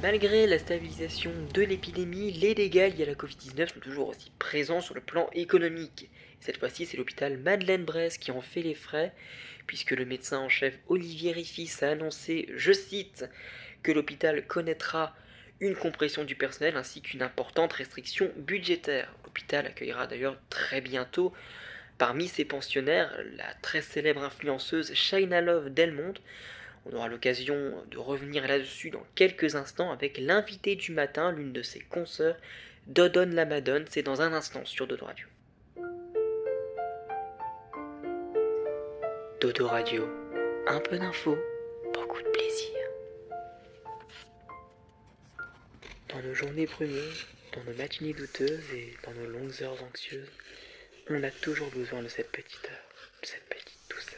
Malgré la stabilisation de l'épidémie, les dégâts y à la covid sont toujours aussi présents sur le plan économique. Cette fois-ci, c'est l'hôpital Madeleine-Bresse qui en fait les frais, puisque le médecin en chef Olivier Riffis a annoncé, je cite, que l'hôpital connaîtra une compression du personnel ainsi qu'une importante restriction budgétaire. L'hôpital accueillera d'ailleurs très bientôt Parmi ses pensionnaires, la très célèbre influenceuse Shaina Love Delmonte, on aura l'occasion de revenir là-dessus dans quelques instants avec l'invité du matin, l'une de ses consœurs, Dodon Madone C'est dans un instant sur Dodo Radio. Dodo Radio, un peu d'infos, beaucoup de plaisir. Dans nos journées brumées, dans nos matinées douteuses et dans nos longues heures anxieuses, on a toujours besoin de cette petite heure, de cette petite douceur.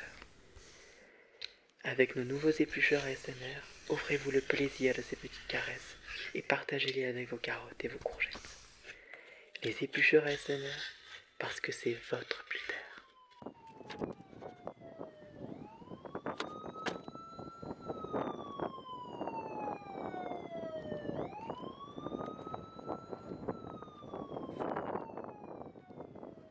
Avec nos nouveaux éplucheurs SNR, offrez-vous le plaisir de ces petites caresses et partagez-les avec vos carottes et vos courgettes. Les éplucheurs SNR, parce que c'est votre buteur.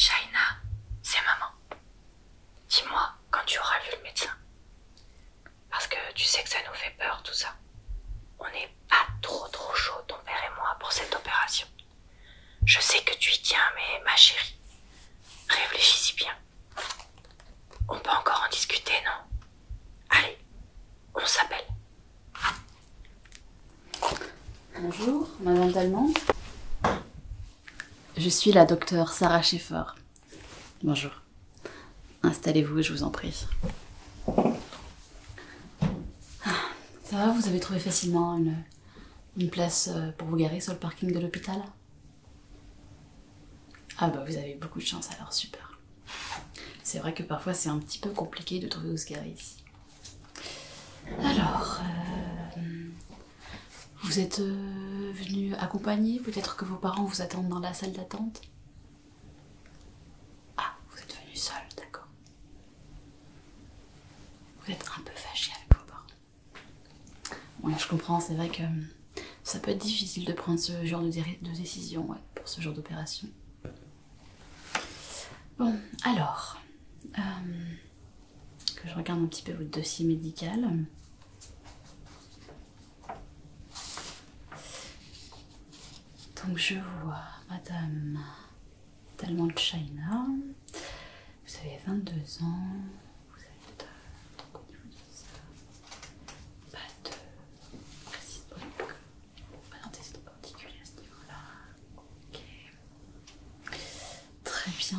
Shaina, c'est maman. Dis-moi quand tu auras vu le médecin. Parce que tu sais que ça nous fait peur tout ça. On n'est pas trop trop chaud, ton père et moi, pour cette opération. Je sais que tu y tiens, mais ma chérie, réfléchis-y bien. On peut encore en discuter, non Allez, on s'appelle. Bonjour, Madame Talmand. Je suis la docteure Sarah Schaeffer, Bonjour. Installez-vous je vous en prie. Ah, ça va, vous avez trouvé facilement une, place euh, pour vous garer sur le parking de l'hôpital Ah bah vous avez beaucoup de chance alors, super. C'est vrai que parfois c'est un petit peu compliqué de trouver où se garer ici. Alors, euh, vous êtes euh, venu accompagner Peut-être que vos parents vous attendent dans la salle d'attente Ah, vous êtes venu seul, d'accord. Vous êtes un peu fâché avec vos parents. Oui, je comprends, c'est vrai que euh, ça peut être difficile de prendre ce genre de, décision pour ce genre d'opération. Bon, alors, euh, que je regarde un petit peu votre dossier médical. Donc je vois Madame de China, vous avez 22 ans, vous êtes euh, donc au niveau de ça, pas de précise donc pas particulier à ce niveau-là, ok, très bien,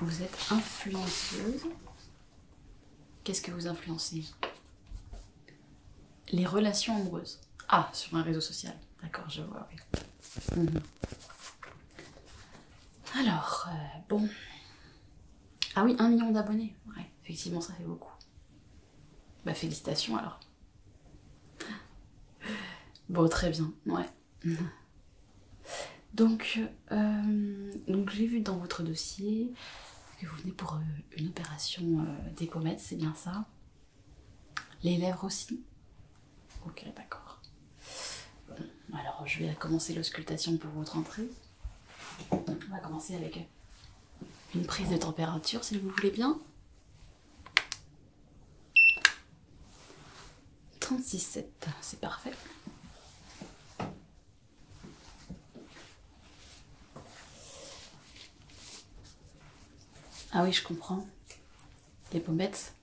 vous êtes influenceuse. Qu'est-ce que vous influencez Les relations amoureuses. Ah, sur un réseau social. D'accord, je vois, oui. Mm-hmm. Alors, euh, bon. Ah oui, un million d'abonnés. Ouais, effectivement, ça fait beaucoup. Bah, félicitations alors. Bon, très bien, ouais. Donc, euh, donc j'ai vu dans votre dossier que vous venez pour euh, une opération euh, des pommettes, c'est bien ça Les lèvres aussi Ok, d'accord. alors, je vais commencer l'auscultation pour votre entrée. On va commencer avec une prise de température, si vous voulez bien. 36-7, c'est parfait. Ah oui, je comprends. Les pommettes,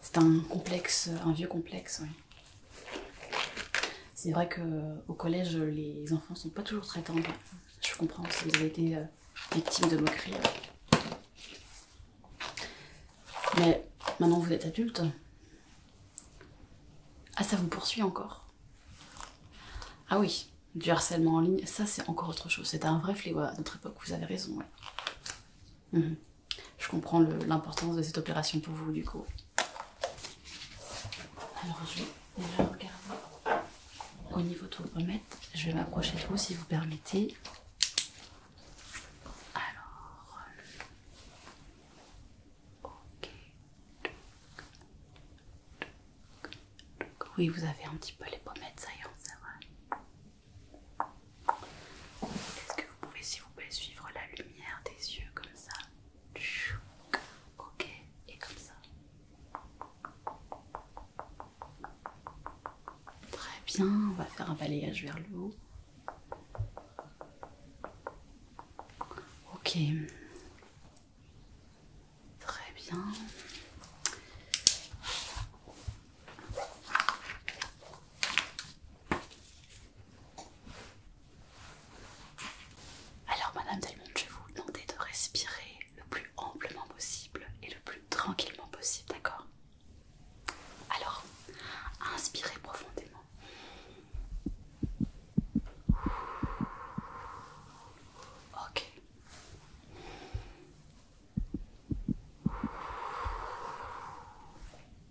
c'est un complexe, un vieux complexe, oui. C'est vrai qu'au collège, les enfants sont pas toujours très tendres. Je comprends vous avez été euh, victime de moqueries. Hein. Mais maintenant vous êtes adulte. Ah, ça vous poursuit encore Ah oui, du harcèlement en ligne, ça c'est encore autre chose. C'était un vrai fléau à notre époque, vous avez raison, mhm. Je comprends l'importance de cette opération pour vous, du coup. Alors, je vais déjà regarder au niveau de vos pommettes. Je vais m'approcher de vous si vous permettez. Alors, ok. Oui, vous avez un petit peu les pommettes saillantes, c'est vrai. Est-ce que vous pouvez, s'il vous plaît, suivre la lumière des yeux comme ça Ok, et comme ça. Très bien, on va faire un balayage vers le haut. Ok. Très bien. Alors, Madame Delmonte, je vais vous demander de respirer le plus amplement possible et le plus tranquillement possible, d'accord Alors, inspirez profondément. Ok.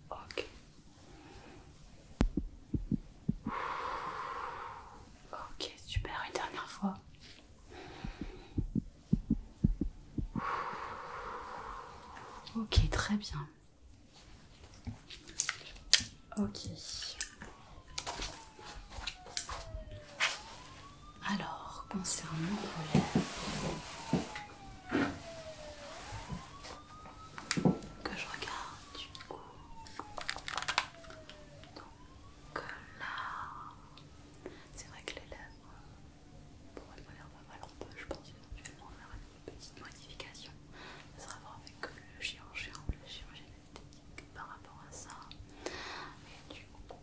Ok. Ok, super, une dernière fois. Ok, très bien. Ok. Alors, concernant vos lèvres, que je regarde du coup, donc là, c'est vrai que les lèvres pour pas on peut, je pense, éventuellement faire une petite modification. Ça sera voir avec euh, le chirurgien ou le chirurgien esthétique par rapport à ça. Mais du coup,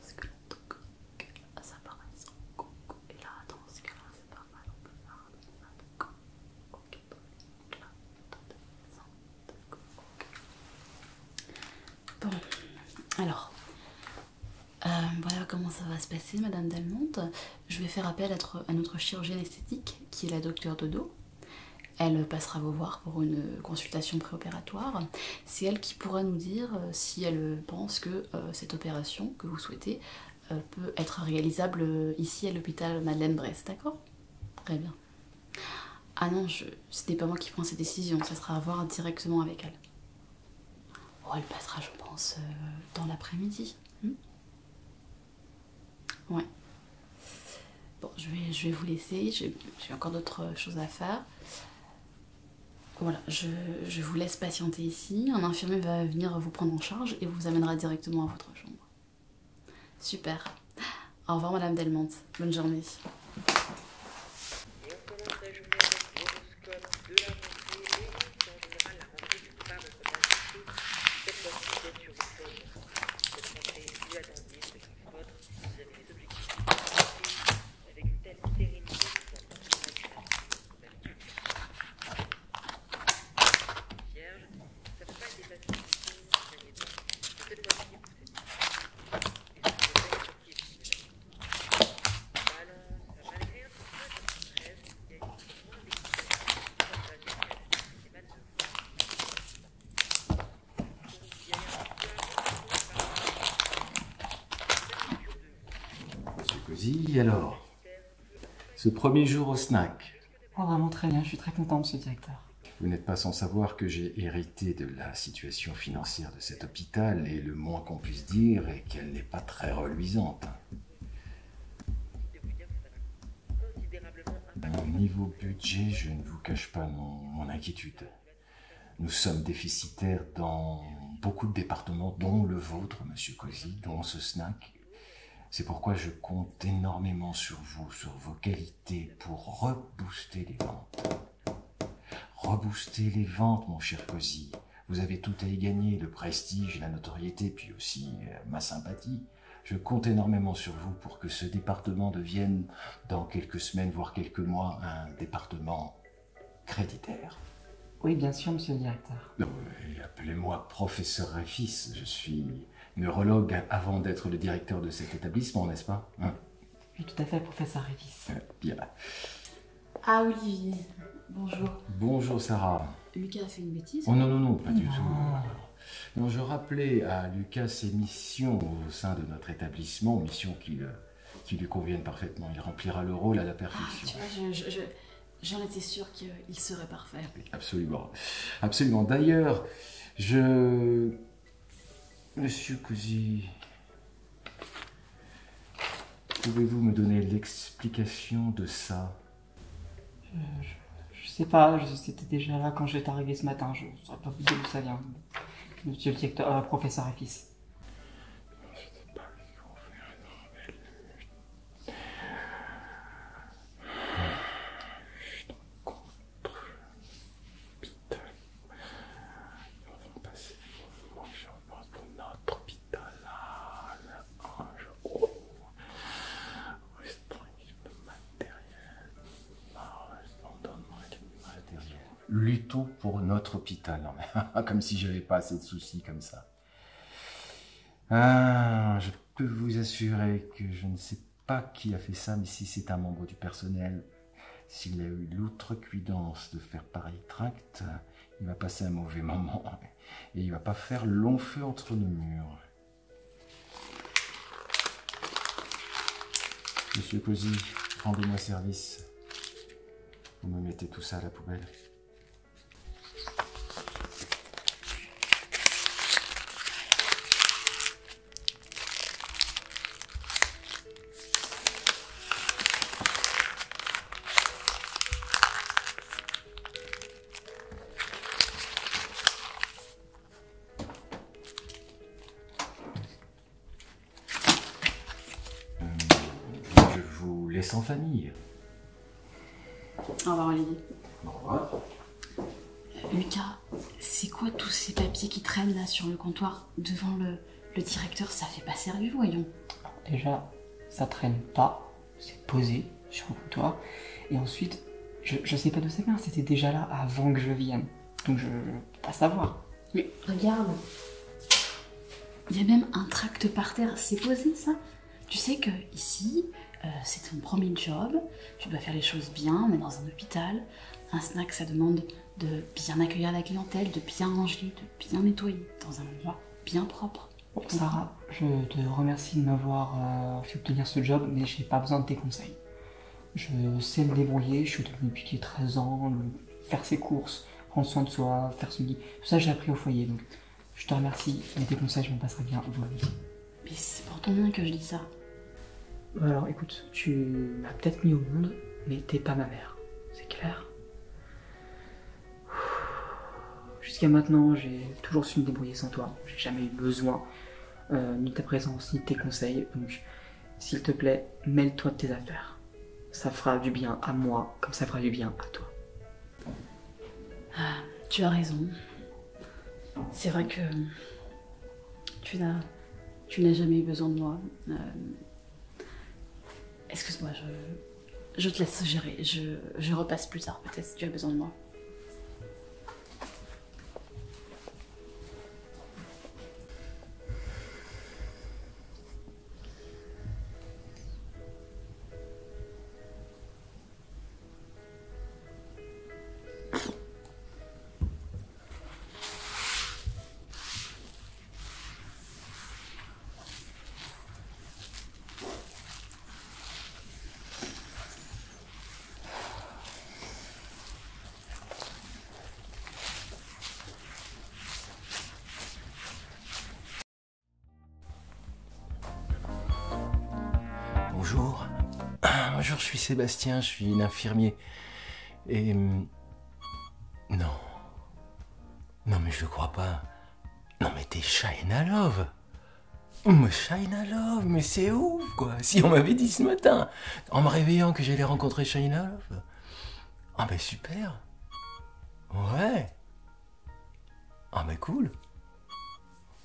parce que là coque, ah, ça paraît sans coque. Et là, dans ce cas-là, c'est pas mal, on peut faire ah, un coque. donc là, de coque. Bon, alors, euh, voilà comment ça va se passer, Madame Delmonte. Je vais faire appel à, notre chirurgienne esthétique, qui est la docteure Dodo. Elle passera vous voir pour une consultation préopératoire. C'est elle qui pourra nous dire euh, si elle pense que euh, cette opération que vous souhaitez peut être réalisable ici à l'hôpital Madeleine-Brest, d'accord Très bien. Ah non, je... ce n'est pas moi qui prends ces décisions, ça sera à voir directement avec elle. Oh, elle passera, je pense, euh, dans l'après-midi. Hmm ouais. Bon, je vais, je vais vous laisser, j'ai encore d'autres choses à faire. Voilà, je, je vous laisse patienter ici. Un infirmier va venir vous prendre en charge et vous amènera directement à votre chambre. Super. Au revoir, Madame Delmonte. Bonne journée alors Ce premier jour au snack. Oh, vraiment très bien, je suis très content, de ce directeur. Vous n'êtes pas sans savoir que j'ai hérité de la situation financière de cet hôpital, et le moins qu'on puisse dire est qu'elle n'est pas très reluisante. Au Niveau budget, je ne vous cache pas mon, inquiétude. Nous sommes déficitaires dans beaucoup de départements, dont le vôtre, Monsieur Cozy, dont ce snack. C'est pourquoi je compte énormément sur vous, sur vos qualités, pour rebooster les ventes. Reboostez les ventes, mon cher Cosy. Vous avez tout à y gagner, le prestige, la notoriété, puis aussi euh, ma sympathie. Je compte énormément sur vous pour que ce département devienne, dans quelques semaines, voire quelques mois, un département créditaire. Oui, bien sûr, monsieur le directeur. Appelez-moi professeur Réfis. Je suis neurologue avant d'être le directeur de cet établissement, n'est-ce pas hein oui, tout à fait, professeur Révis. Euh, bien. Ah, Olivier, bonjour. Bonjour, Sarah. Lucas a fait une bêtise oh, non, non, non, pas du ah. tout. Non, je rappelais à Lucas ses missions au sein de notre établissement, missions qui, lui conviennent parfaitement. Il remplira le rôle à la ah, perfection. tu vois, J'en étais sûr qu'il serait parfait. Absolument. Absolument. D'ailleurs, je Monsieur Cousy, pouvez-vous me donner l'explication de ça euh, je, sais pas, c'était déjà là quand je suis arrivé ce matin, je ne sais pas vous d'où ça vient. Monsieur le directeur, euh, professeur et fils hôpital. On va passer moi mon environnement de notre hôpital à l'ange. Oh. Reste tranquille, le matériel. On donne le matériel. Luttons pour notre hôpital. comme si j'avais pas assez de soucis comme ça. Ah, je peux vous assurer que je ne sais pas pas qui a fait ça, mais si c'est un membre du personnel, s'il a eu l'outrecuidance de faire pareil tract, il va passer un mauvais moment et il va pas faire long feu entre nos murs. Monsieur Cosy, rendez-moi service. Vous me mettez tout ça à la poubelle. Je vous laisse en famille. Au revoir Olivier. Au revoir. Lucas, c'est quoi tous ces papiers qui traînent là sur le comptoir devant le, directeur Ça fait pas sérieux, voyons. Déjà, ça traîne pas, c'est posé sur le comptoir. Et ensuite, je, sais pas de ça vient, c'était déjà là avant que je vienne. Donc je, peux pas savoir. Mais regarde, il y a même un tract par terre, c'est posé ça Tu sais que ici, euh, c'est ton premier job, tu dois faire les choses bien, mais dans un hôpital, un snack ça demande de bien accueillir la clientèle, de bien ranger, de bien nettoyer dans un endroit bien propre. Sarah, je te remercie de m'avoir euh, fait obtenir ce job, mais je n'ai pas besoin de tes conseils. Je sais me débrouiller, je suis devenue depuis 13 ans, faire ses courses, prendre soin de soi, faire son lit. Tout ça, j'ai appris au foyer, donc je te remercie, mais tes conseils, je m'en passerai bien aujourd'hui. Mais c'est pour ton bien que je dis ça. Alors écoute, tu m'as peut-être mis au monde, mais t'es pas ma mère, c'est clair. Jusqu'à maintenant, j'ai toujours su me débrouiller sans toi. J'ai jamais eu besoin euh, ni de ta présence, ni de tes conseils. Donc, s'il te plaît, mêle-toi de tes affaires. Ça fera du bien à moi, comme ça fera du bien à toi. Ah, tu as raison. C'est vrai que tu n'as, tu n'as jamais eu besoin de moi. Euh, excuse-moi, je, je te laisse gérer. Je, je repasse plus tard peut-être si tu as besoin de moi. Bonjour. je suis Sébastien, je suis infirmier. Et... Hum, non. Non mais je crois pas. Non mais t'es Shaina Love. Mais Shaina Love, mais c'est ouf quoi. Si on m'avait dit ce matin, en me réveillant que j'allais rencontrer Shaina Love. Ah bah super. Ouais. Ah bah cool.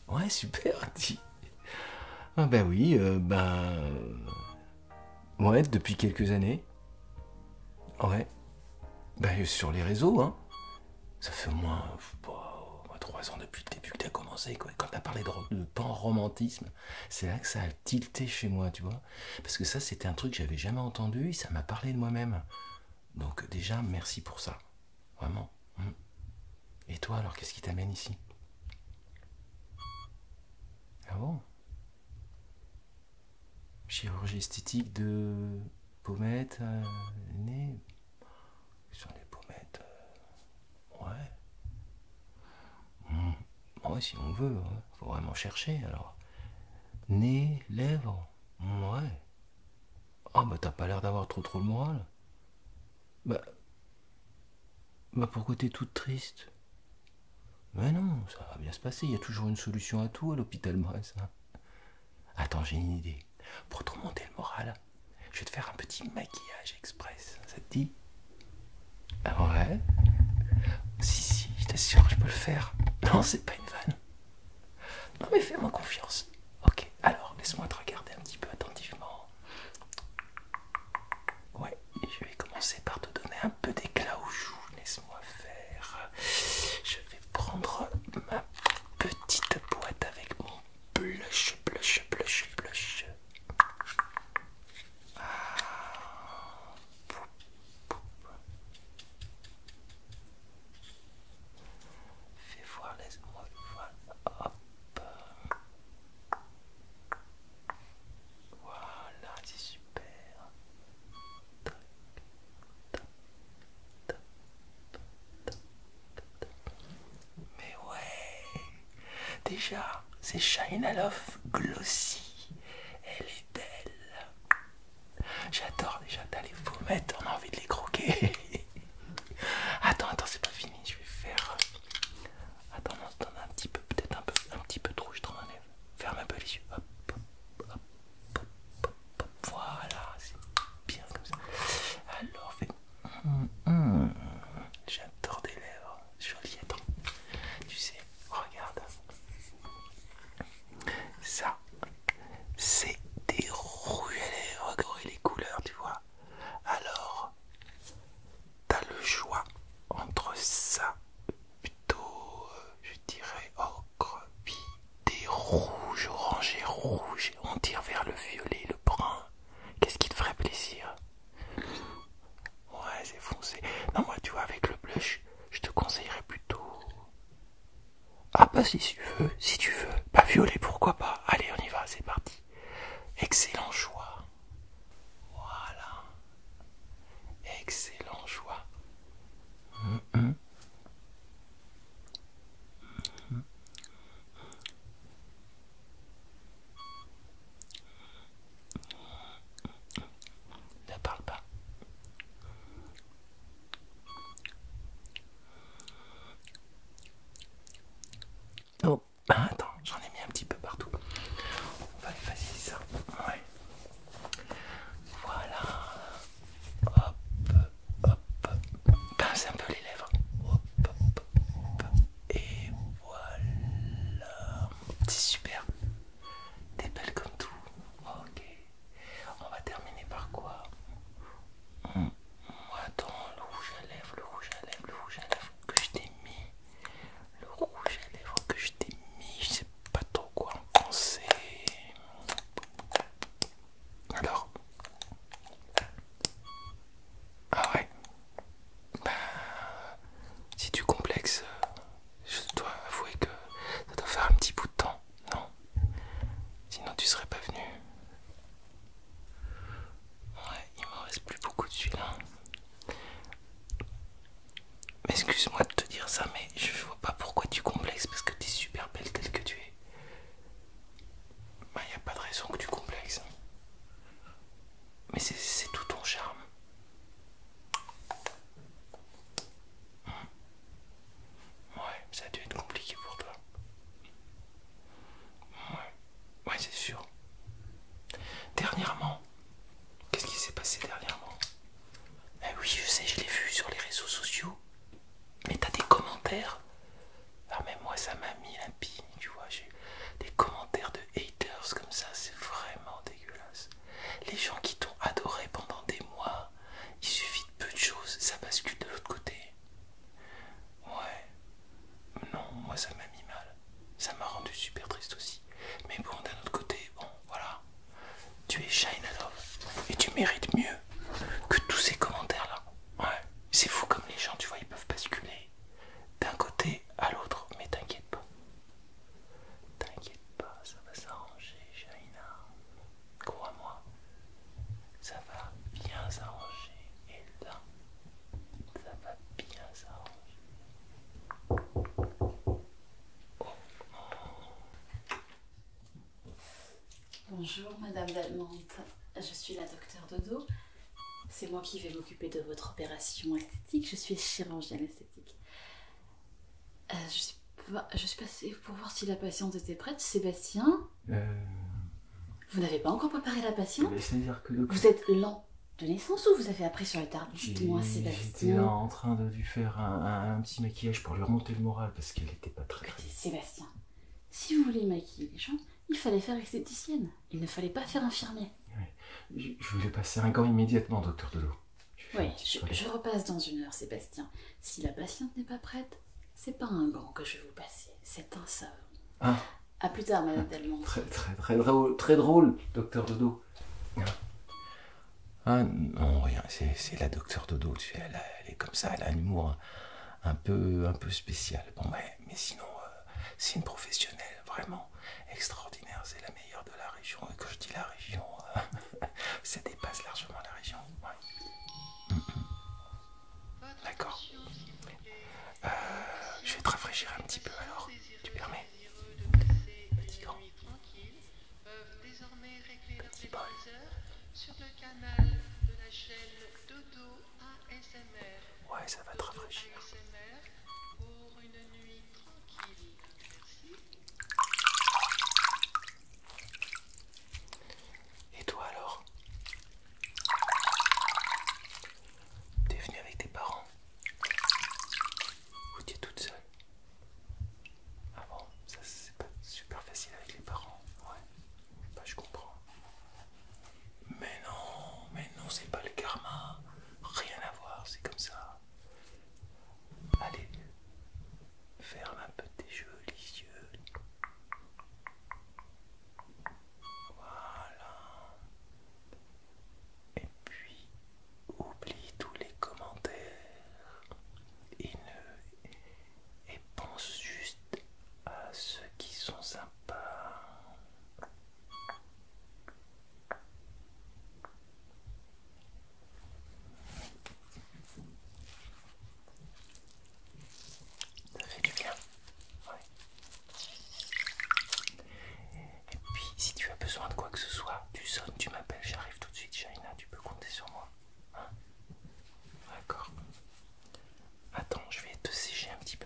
Ouais, super. Ah bah oui, euh, ben... Ouais, depuis quelques années. Ouais. Ben sur les réseaux, hein. Ça fait au moins, trois ans depuis le début que as commencé, quoi. Quand as parlé de, de romantisme c'est là que ça a tilté chez moi, tu vois. Parce que ça, c'était un truc que j'avais jamais entendu et ça m'a parlé de moi-même. Donc déjà, merci pour ça. Vraiment. Hum. Et toi, alors, qu'est-ce qui t'amène ici ah bon Chirurgie esthétique de euh, pommettes, nez. sont les pommettes. ouais. Hmm. Ouais, si on veut. Faut vraiment chercher alors. Nez, lèvres. ouais. Ah, bah t'as pas l'air d'avoir trop trop le moral. Bah. Bah pourquoi t'es toute triste Mais non, ça va bien se passer, il y a toujours une solution à tout à l'hôpital ça. Hein. Attends, j'ai une idée. Pour te remonter le moral, je vais te faire un petit maquillage express. Hein, ça te dit Ah ouais Si, si, je t'assure, je peux le faire. Non, c'est pas une vanne. Non, mais fais-moi confiance. Ok, alors laisse-moi te regarder un petit peu attentivement. Ouais, je vais commencer par te donner un peu d'éclat au joues. Laisse-moi faire. Je vais prendre ma petite boîte avec mon blush, blush, blush, blush. Ah. Fais voir, laisse-moi voir. Hop. Voilà, c'est super. Mais ouais, déjà, c'est Shine Love Glossy. Elle est belle. J'adore déjà, d'aller vous mettre, on a envie de les croquer. attends, attends, c'est pas fini. Je vais faire Attends, attends un petit peu, peut-être un peu, un petit peu de rouge dans l'enlève. Ferme un peu les yeux. Hop, hop, hop, hop, hop, Voilà, c'est bien comme ça. Alors, fais... Hum, hum. J'adore des lèvres. Joli, Tu sais, regarde. Ça, c'est des rouges à lèvres. Regardez les couleurs, tu vois. Alors, t'as le choix entre ça, plutôt, euh, je dirais, ocre, puis des rouges, orangés, rouges, on tire vers le violet, le brun. Qu'est-ce qui te ferait plaisir Ouais, c'est foncé. Non, moi, tu vois, avec le blush, je te conseillerais plutôt... Ah bah si tu veux, si tu veux. pas bah, violet, pourquoi pas. Allez, on y va, c'est parti. Excellent choix. Voilà. Excellent choix. Ne parle pas. Oh. Ah, attends, j'en ai mis un petit peu partout. On va effacer ça. Ouais. Voilà. Hop, hop. Pince ah, un peu les lèvres. Hop, hop, hop. Et voilà. C'est super. T'es belle comme tout. Ok. On va terminer par quoi hmm. Attends, le rouge à lèvres, le rouge à lèvres, le rouge à lèvres que je t'ai mis, le rouge à lèvres que je t'ai mis, je sais pas trop quoi en penser. Alors, ah ouais, bah, si tu complexes, je dois avouer que ça doit faire un petit bout de temps, non Sinon tu serais pas venu. Ouais, il m'en reste plus beaucoup de celui-là. Excuse-moi de te dire ça, mais je vois pas pourquoi tu complexes parce que t'es super belle telle que tu es. Bah, y a pas de raison que tu complexes. Hein. Mais c'est tout ton charme. Mmh. Ouais, ça a dû être compliqué pour toi. Ouais, c'est sûr. Dernièrement, qu'est-ce qui s'est passé dernièrement eh oui, je sais, je l'ai vu sur les réseaux sociaux. Mais t'as des commentaires. Ah, mais moi, ça m'a mis la pigne, tu vois. des commentaires de haters comme ça, c'est vraiment dégueulasse. Les gens qui t'ont adoré pendant des mois, il suffit de peu de choses, ça bascule de l'autre côté. Ouais. Non, moi ça m'a mis mal. Ça m'a rendu super triste aussi. Mais bon, d'un autre côté, bon, voilà. Tu es Shine Love et tu mérites mieux que tous ces commentaires-là. Ouais. C'est fou comme les gens, tu vois, ils peuvent basculer d'un côté à l'autre. Mais t'inquiète pas. T'inquiète pas, ça va s'arranger, Shaina. Crois-moi. Ça va bien s'arranger. Et là, ça va bien Bonjour Madame Dalmante, je suis la Docteur Dodo. C'est moi qui vais m'occuper de votre opération esthétique. Je suis chirurgienne esthétique. Euh, je, suis, je passée pour voir si la patiente était prête. Sébastien euh, vous n'avez pas encore préparé la eh patiente cest à que Vous êtes lent de naissance ou vous avez appris sur le tard Sébastien. J'étais en train de lui faire un, petit maquillage pour lui remonter le moral parce qu'elle n'était pas très. Écoutez, Sébastien, si vous voulez maquiller les gens, il fallait faire esthéticienne. Il ne fallait pas faire infirmier. Je, vous voulais passer un gant immédiatement, docteur Delot. Oui, je, repasse dans une heure, Sébastien. Si la patiente n'est pas prête, c'est pas un gant que je vais vous passer, c'est un savon. Ah. À plus tard, Madame Tellement. Très, drôle, docteur Dodo. Ah, ah non, rien, c'est la docteur Dodo, tu elle, est comme ça, elle a un humour un, peu, un peu spécial. Bon, ouais, mais sinon, euh, c'est une professionnelle vraiment extraordinaire, c'est la meilleure de la région. Et quand je dis la région, ça dépasse largement la région. Mm, mm. D'accord. Euh, je vais te rafraîchir un petit peu alors. Tu permets Petit grand. Petit ASMR. Ouais, ça va te rafraîchir. Et toi alors T'es venu avec tes parents Ou es toute seule Ah bon, ça c'est pas super facile avec les parents. Ouais, bah je comprends. Mais non, mais non, c'est pas le karma. Rien à voir, c'est comme ça. Allez, ferme un peu tes jolis yeux. Voilà. Et puis, oublie tous les commentaires et, ne... et pense juste à ceux qui sont sympas. Ça fait du bien. Ouais. Et puis, si tu as besoin de quoi que ce soit, tu sonnes, tu m'appelles, j'arrive tout de suite, Shaina, tu peux compter sur moi. Hein D'accord. Attends, je vais te sécher un petit peu.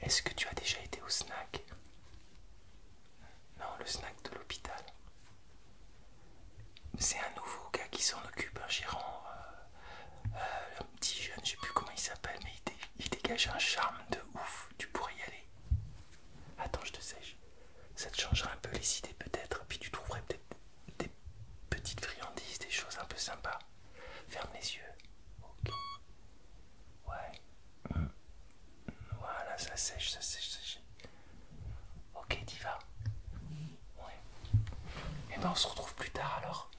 Est-ce que tu as déjà été au snack non, le snack de l'hôpital. C'est un nouveau gars qui s'en occupe, un gérant, euh, euh, un petit jeune, je sais plus comment il s'appelle, mais il, dégage un charme de ouf. Tu pourrais y aller. Attends, je te sais. Ça te changera un peu les idées peut-être, puis tu trouverais peut-être des petites friandises, des choses un peu sympas. Ferme les yeux. Ok. Ouais. Mm. Voilà, ça sèche, ça sèche, ça sèche. Ok, diva. Et eh ben on se retrouve plus tard alors.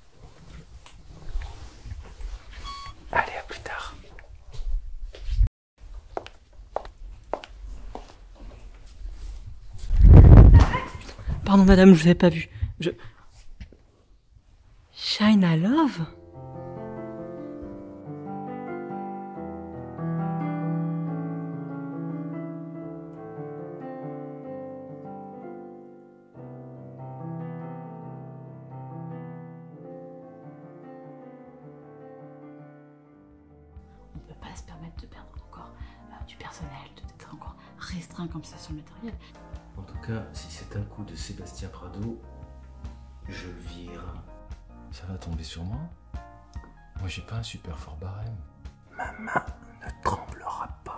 Allez, à plus tard. Pardon madame, je vous avais pas vu. Je... Shine a Love on ne peut pas se permettre de perdre encore euh, du personnel, d'être encore restreint comme ça sur le matériel. En tout cas, si c'est un coup de Sébastien Prado, je vire. Ça va tomber sur moi moi, j'ai pas un super fort barème. Ma main ne tremblera pas.